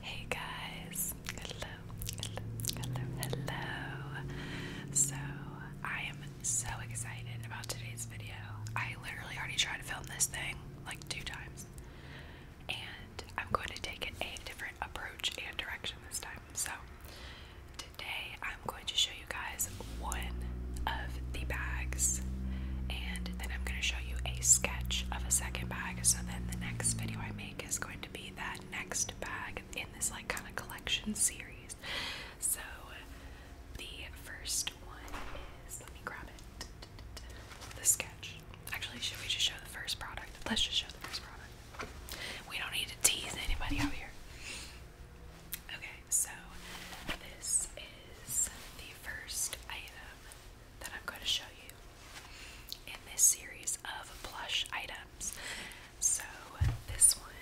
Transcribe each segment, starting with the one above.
Hey guys, hello, hello, hello, So, I am so excited about today's video. I literally already tried to film this thing like two times, and I'm going to take a different approach and direction this time. So, today I'm going to show you guys one of the bags, and then I'm going to show you a sketch of a second bag. So then the next video I make is going to be that next bag in this like kind of collection series. So the first one is let me grab it. The sketch. Actually, should we just show the first product? Let's just show the first product. We don't need to tease anybody out here. Okay, so this is the first item that I'm going to show you in this series of plush items. So, this one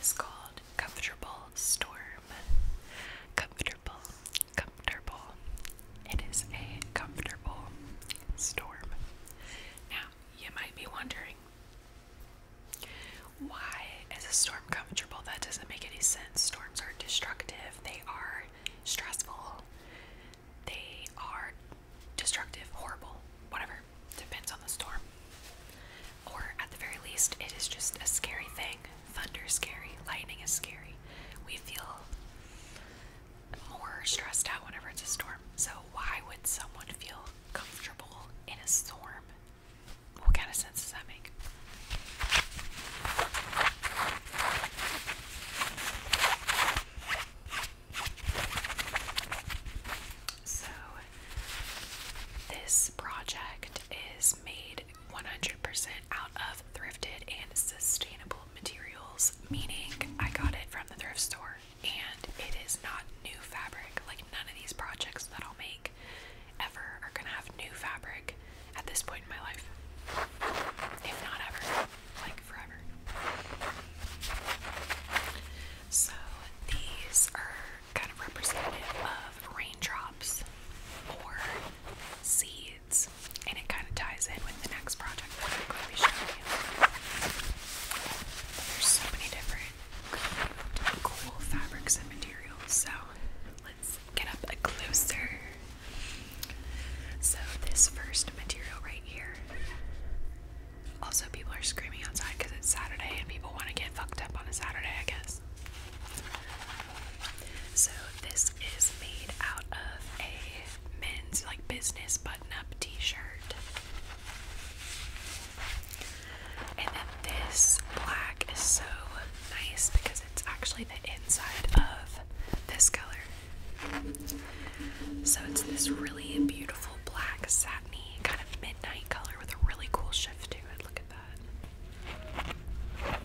is called Comfortable Storm. Comfortable, comfortable. It is a comfortable storm. Now, you might be wondering why is a storm comfortable? That doesn't make any sense. Storms are destructive, they are stressful, they are destructive, horrible, whatever. Depends on the storm. Or at the very least, it is just a scary thing. Thunder is scary, lightning is scary. We feel more stressed out whenever it's a storm. So, why would someone feel comfortable in a storm? What kind of sense does that make? So, this project is made 100% out of thrifted and sustainable materials, meaning I got it from the thrift store and it is not new fabric. Like, none of these projects that I'll make ever are gonna have new fabric at this point in my life. If not ever, like forever. So these are kind of representative of raindrops or seeds, and it kind of ties in with the next project that I'm going to be showing you. There's so many different cool fabrics and materials, so let's get up closer. So this first material right here. Also, people are screaming outside because it's Saturday and people want to get fucked up on a Saturday, I guess. So this is made out of a men's like business button-up t-shirt. And then this black is so nice because it's actually the inside of this color. So it's this really beautiful black satiny kind of midnight color with a really cool shift to it. Look at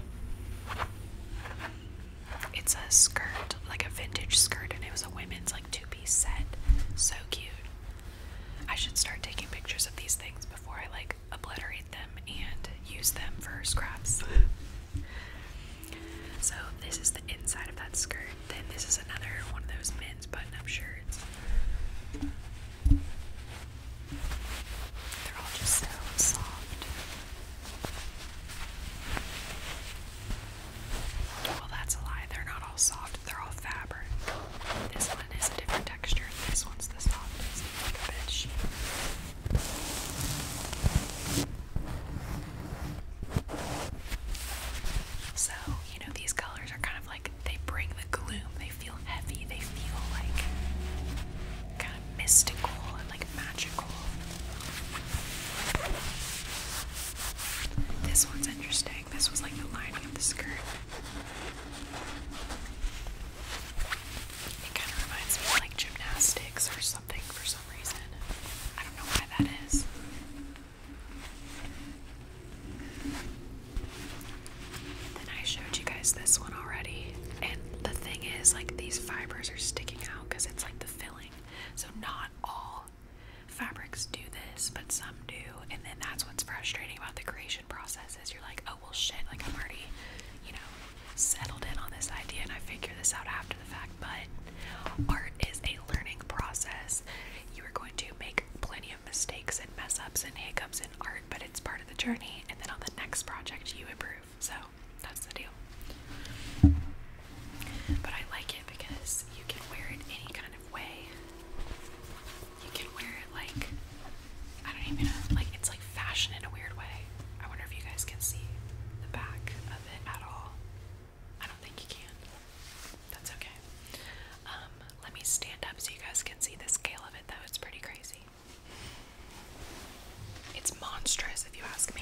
that. It's a skirt, like a vintage skirt, and it was a women's like two-piece set. So cute. I should start taking pictures of these things before I like obliterate them and use them for scraps. So this is the inside of that skirt. Then this is another one of those men's button-up shirts. They're all just so soft. Well, that's a lie. They're not all soft. They're all fabric. This one is a different texture. This one's the softest, like a bed so, you know, these colors are kind of like they bring the gloom, they feel heavy, they feel like kind of mystical and like magical. This one's interesting. This was like the lining of the skirt. It kind of reminds me of like gymnastics or something something for some reason. I don't know why that is. Then I showed you guys this one already. And the thing is, like, these fibers are sticking out because it's like the filling. So, not all fabrics do this, but some do. And then that's what's frustrating about the creation process is you're like, oh, well, shit, like, I'm already, you know, settled in on this idea and I figured this out after the fact, but art is a learning process. You are going to make plenty of mistakes and mess ups and hiccups in art, but it's part of the journey. And then on the next project, you improve. So that's the deal. But I like it because you can wear it any kind of way. You can wear it like, I don't even know, like it's like fashion in a weird way. I wonder if you guys can see the back it at all. I don't think you can. That's okay. Um, let me stand up so you guys can see the scale of it, though. It's pretty crazy. It's monstrous, if you ask me.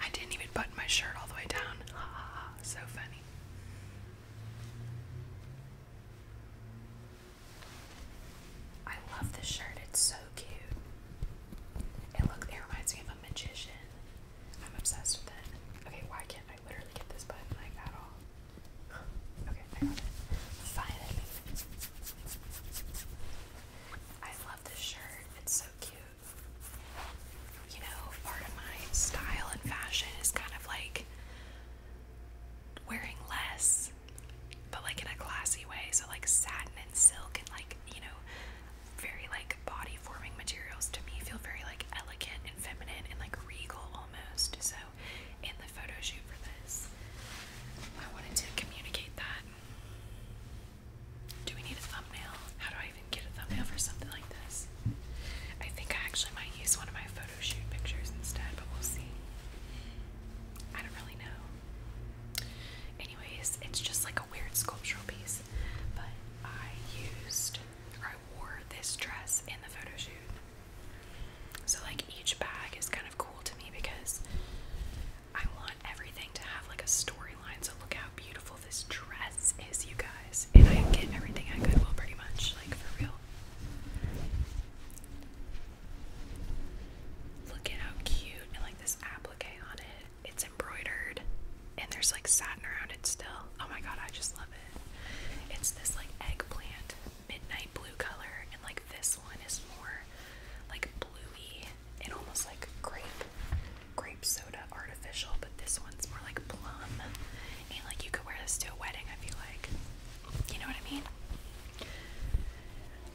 I didn't even button my shirt all the way down. so funny. I love this shirt. It's so cute. It look it reminds me of a magician. I'm obsessed with it. Okay, why can't I literally get this button like at all? Finally. I love this shirt. It's so cute. You know, part of my style and fashion is kind of like wearing less, but like in a classy way. So like satin and silk and like, you know, very like body forming materials to me feel very like elegant and feminine and like regal almost. So in the photo for this. I wanted to communicate that. Do we need a thumbnail? How do I even get a thumbnail for something like this? I think I actually might use one of my photo shoot pictures instead, but we'll see. I don't really know. Anyways, it's just like a weird sculptural piece, but I used or I wore this dress in the photo shoot. So like each bag is kind of cool to me because I want everything to have like a storyline. So look how beautiful this dress is, you guys. And I am getting everything at Goodwill pretty much, like for real. Look at how cute and like this applique on it. It's embroidered and there's like satin around it still. Oh my god, I just love it. It's this like eggplant midnight blue color, and like this one is more like bluey and almost like grape, grape soda artificial, but this one's more like plum. And like you could wear this to a wedding, I feel like. You know what I mean?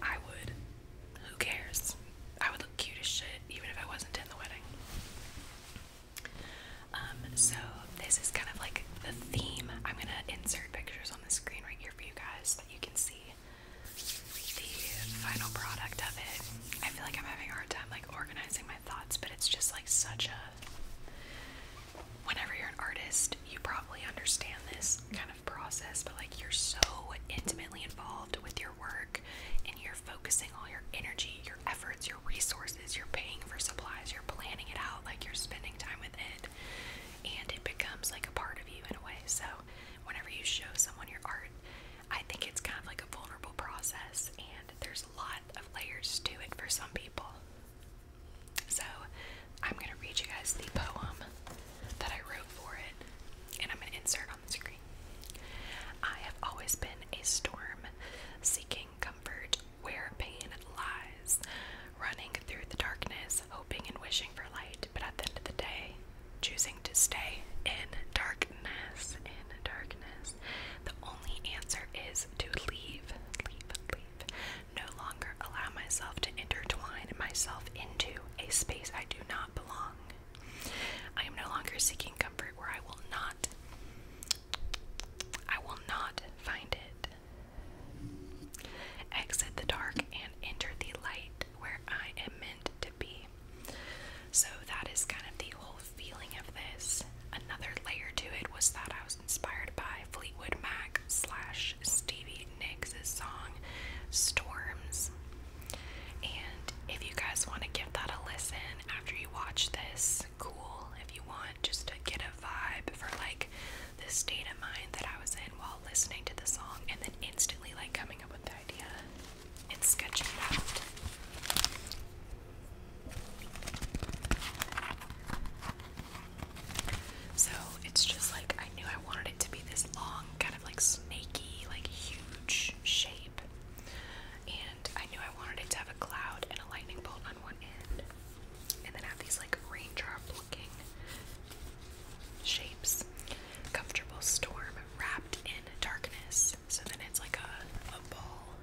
I would. Who cares? I would look cute as shit even if I wasn't in the wedding. Um, so this is kind of like the theme. I'm gonna insert pictures on the screen right here for you guys that you can see the final product of it. I feel like I'm having a hard time like organizing my thoughts, but it's just like such a whenever you're an artist, you probably understand this kind of process, but like you're so intimately involved with your work and you're focusing all your energy, your efforts, your resources, you're paying for supplies, you're planning it out, like you're spending time with it and it becomes like a part of you in a way. So, whenever you show someone your art, I think it's kind of like a vulnerable process, and there's a lot of layers to it for some people. So, I'm going to read you guys the poem that I wrote for it, and I'm going to insert on the screen. I have always been a storm seeking comfort where pain lies running through the darkness, hoping and wishing for light, but at the end of the day, choosing to stay in darkness. In darkness. The only answer is to leave, leave, leave. No longer allow myself to intertwine myself into a space I do not belong. I am no longer seeking comfort where I will not I will not find it. Exit the dark and enter the light where I am meant to be. So that is kind of the whole feeling of this. Another layer to it was that I was inspired by Fleetwood Mac slash Stevie Nicks' song Storms. And if you guys want to give that a listen after you watch this, cool. If you want just to get a vibe for like the state of mind that I was in while listening to the song and then instantly like coming up with the idea and sketching it out. So it's just like I knew I wanted it to be this long, kind of like snaky, like huge shape. And I knew I wanted it to have a cloud and a lightning bolt on one end. And then have these like raindrop looking shapes. Comfortable storm wrapped in darkness. So then it's like a, ball.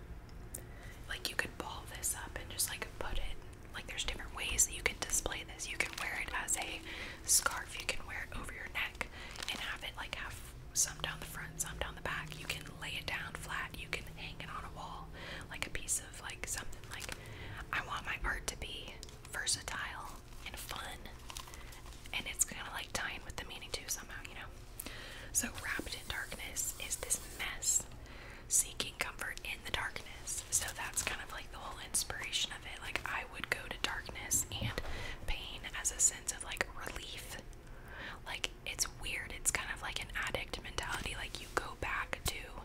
Like you could ball this up and just like put it. Like there's different ways that you can display this. You can wear it as a scarf. You can wear it over your neck and have it like have some down the front, some down the back. You can lay it down flat. You can hang it on a wall like a piece of like something like I want my art to be versatile and fun, and it's kind of like tying with the meaning too somehow, you know. So wrapped in darkness is this mess, seeking comfort in the darkness. So that's kind of like the whole inspiration of it. Like I would go to darkness and pain as a sense of like relief. Like it's weird. It's kind of like an addict mentality. Like you go back to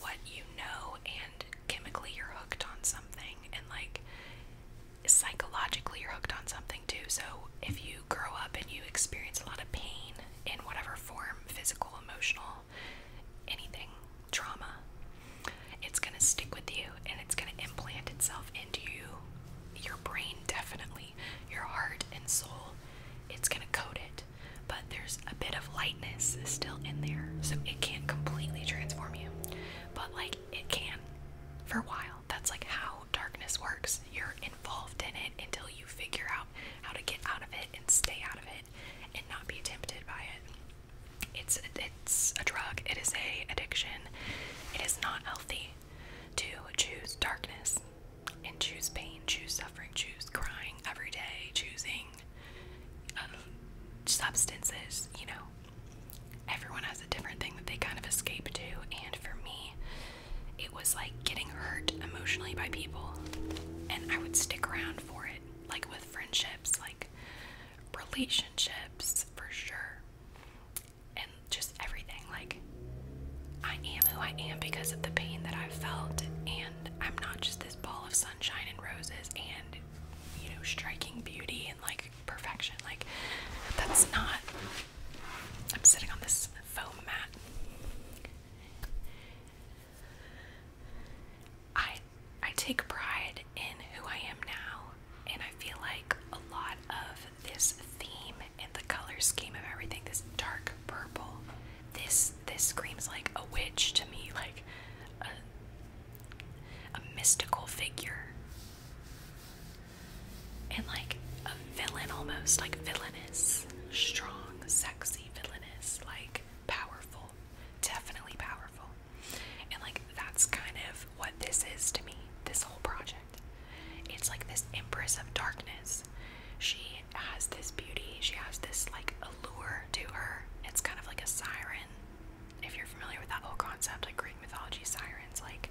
what you know and chemically you're hooked on something and like psychologically you're hooked on something too. So if you grow up and you experience a lot of pain in whatever form, physical, emotional, anything, trauma, it's going to stick with you and it's going to implant itself into you, your brain definitely, your heart and soul. It's going to code it. But there's a bit of lightness is still in there. So it can't completely transform you. But like it can for a while. That's like how darkness works. You're involved in it until you figure out how to get out of it and stay out of it and not be tempted by it. It's it's a drug. It is a addiction. It is not healthy to choose darkness and choose pain, choose suffering, choose crying every day, choosing substances, you know. Everyone has a different thing that they kind of escape to, and for me, it was like getting hurt emotionally by people, and I would stick around for it, like with friendships, like relationships for sure, and just everything. Like, I am who I am because of the pain that i felt, and I'm not just this ball of sunshine and roses and you know, striking beauty and like perfection. Like, that's not. I'm sitting on this foam mat. I I take pride in who I am now, and I feel like a lot of this theme and the color scheme of everything, this dark purple, this this screams like a witch to me, like a mystical figure. And like a villain almost, like villainous, strong, sexy, villainous, like powerful, definitely powerful. And like that's kind of what this is to me, this whole project. It's like this Empress of Darkness. She has this beauty, she has this like allure to her. It's kind of like a siren if you're familiar with that whole concept, like Greek mythology, sirens, like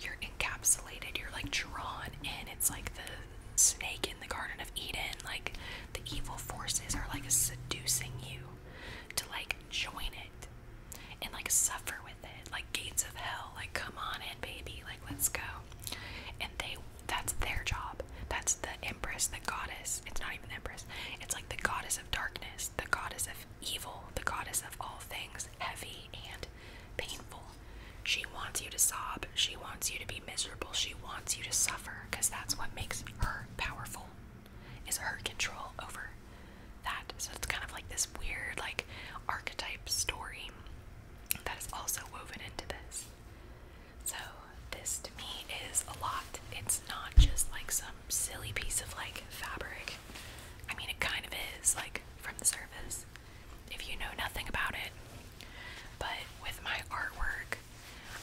you're encapsulated, you're like drawn in. It's like the snake in the Garden of Eden, like the evil forces are like seducing you to like join it and like suffer with it, like gates of hell, like come on in, baby, like let's go. And they that's their job. That's the empress, the goddess. It's not even the empress. It's like the goddess of darkness, the goddess of evil, the goddess of all things heavy and painful. She wants you to sob, she wants you to be miserable, she wants you to suffer because that's what makes her powerful is her control over that. So it's kind of like this weird like archetype story that is also woven into this. So this to me is a lot. It's not just like some silly piece of like fabric. I mean, it kind of is like from the surface if you know nothing about it. But with my artwork,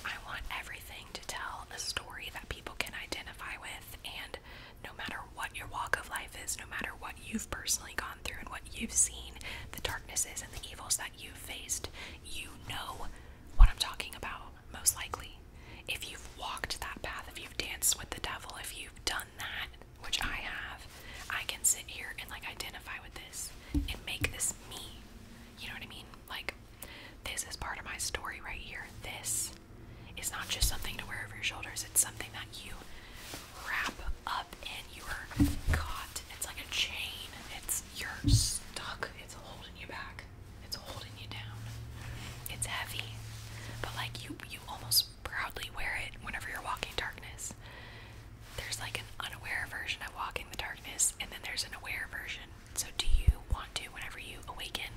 I want everything to tell a story that people can identify with. And no matter what your walk of life is, no matter what you've personally gone through and what you've seen, the darknesses and the evils that you've faced, you know what I'm talking about most likely. If you've walked that path, if you've danced with the devil, if you've done that, which I have, I can sit here and like identify with this and make this me. You know what I mean? Like, this is part of my story right here. This is not just something to wear over your shoulders, it's something that you wrap up and you are caught. It's like a chain, it's you're stuck, it's holding you back. It's holding you down. It's heavy. But like you you almost proudly wear it whenever you're walking darkness. There's like an unaware version of walking the darkness and then there's an aware version. So do you want to whenever you awaken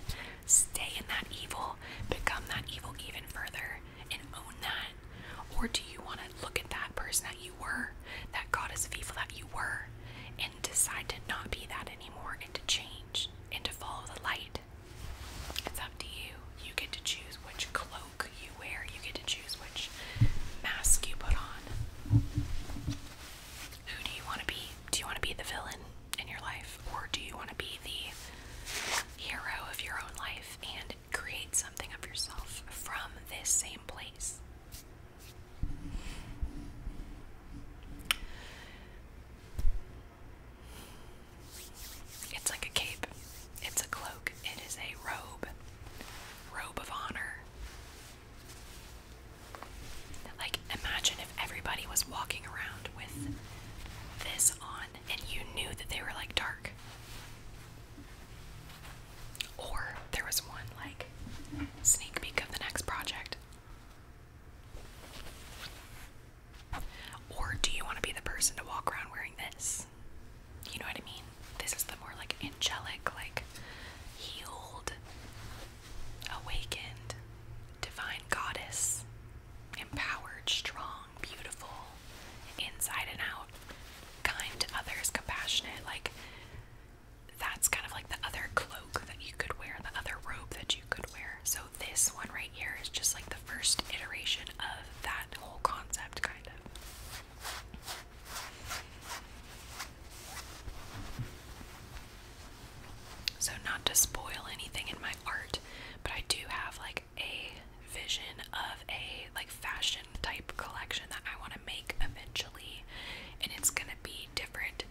stay in that evil, become that evil even further and own that? Or do you want to look at that person that you were, that God is evil that you were, decide to not be that anymore and to change and to follow the light. It's up to you. You get to choose which cloak you wear, you get to choose which mask you put on. Who do you want to be? Do you want to be the villain in your life, or do you want to be the hero of your own life and create something of yourself from this same place? It's like a cape. It's a cloak. It is a robe. Robe of honor. Like, imagine if everybody was walking around with this on and you knew that they were like dark. Or there was one like sneak peek of the next project or do you want to be the person to walk around wearing this? You know what I mean? This is the more like angelic, like healed, awakened, divine goddess, empowered, strong, beautiful, inside and out, kind to others, compassionate, like that's kind of like the other cloak that you could wear, the other robe that you could wear. So this one right here is just like the first iteration of that whole concept, kind of. So, not to spoil anything in my art, but I do have like a vision of a like fashion type collection that I want to make eventually, and it's gonna be different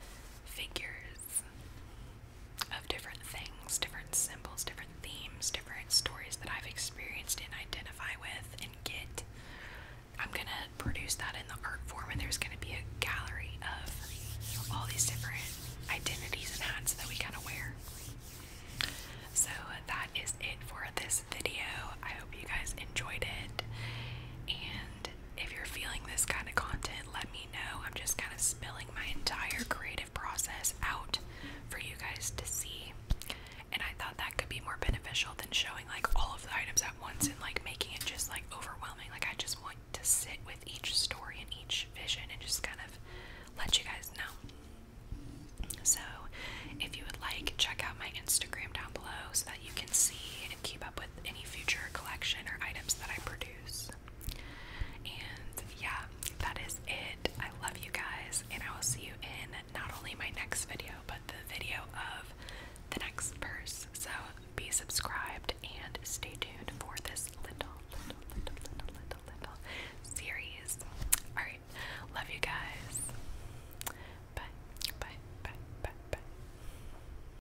figures of different things, different symbols, different themes, different stories that I've experienced and identify with and get. I'm gonna produce that in the art form, and there's gonna be a gallery of all these different identities and hats that we kind of wear. So that is it for this video. I hope you guys enjoyed it, and if you're feeling this kind of content, let me know. I'm just kind of spilling my entire creative process out for you guys to see. And I thought that could be more beneficial than showing like all of the items at once and like making it just like overwhelming. Like, I just want to sit with each story and each vision and just kind of let you guys know. So, if you would like, check out my Instagram down below so that you can see and keep up with with any future collection or items that I produce. And yeah, that is it. I love you guys, and I will see you in not only my next video, but the video of the next purse. So be subscribed and stay tuned for this little, little, little, little, little, little series. Alright, love you guys. Bye, bye, bye, bye, bye.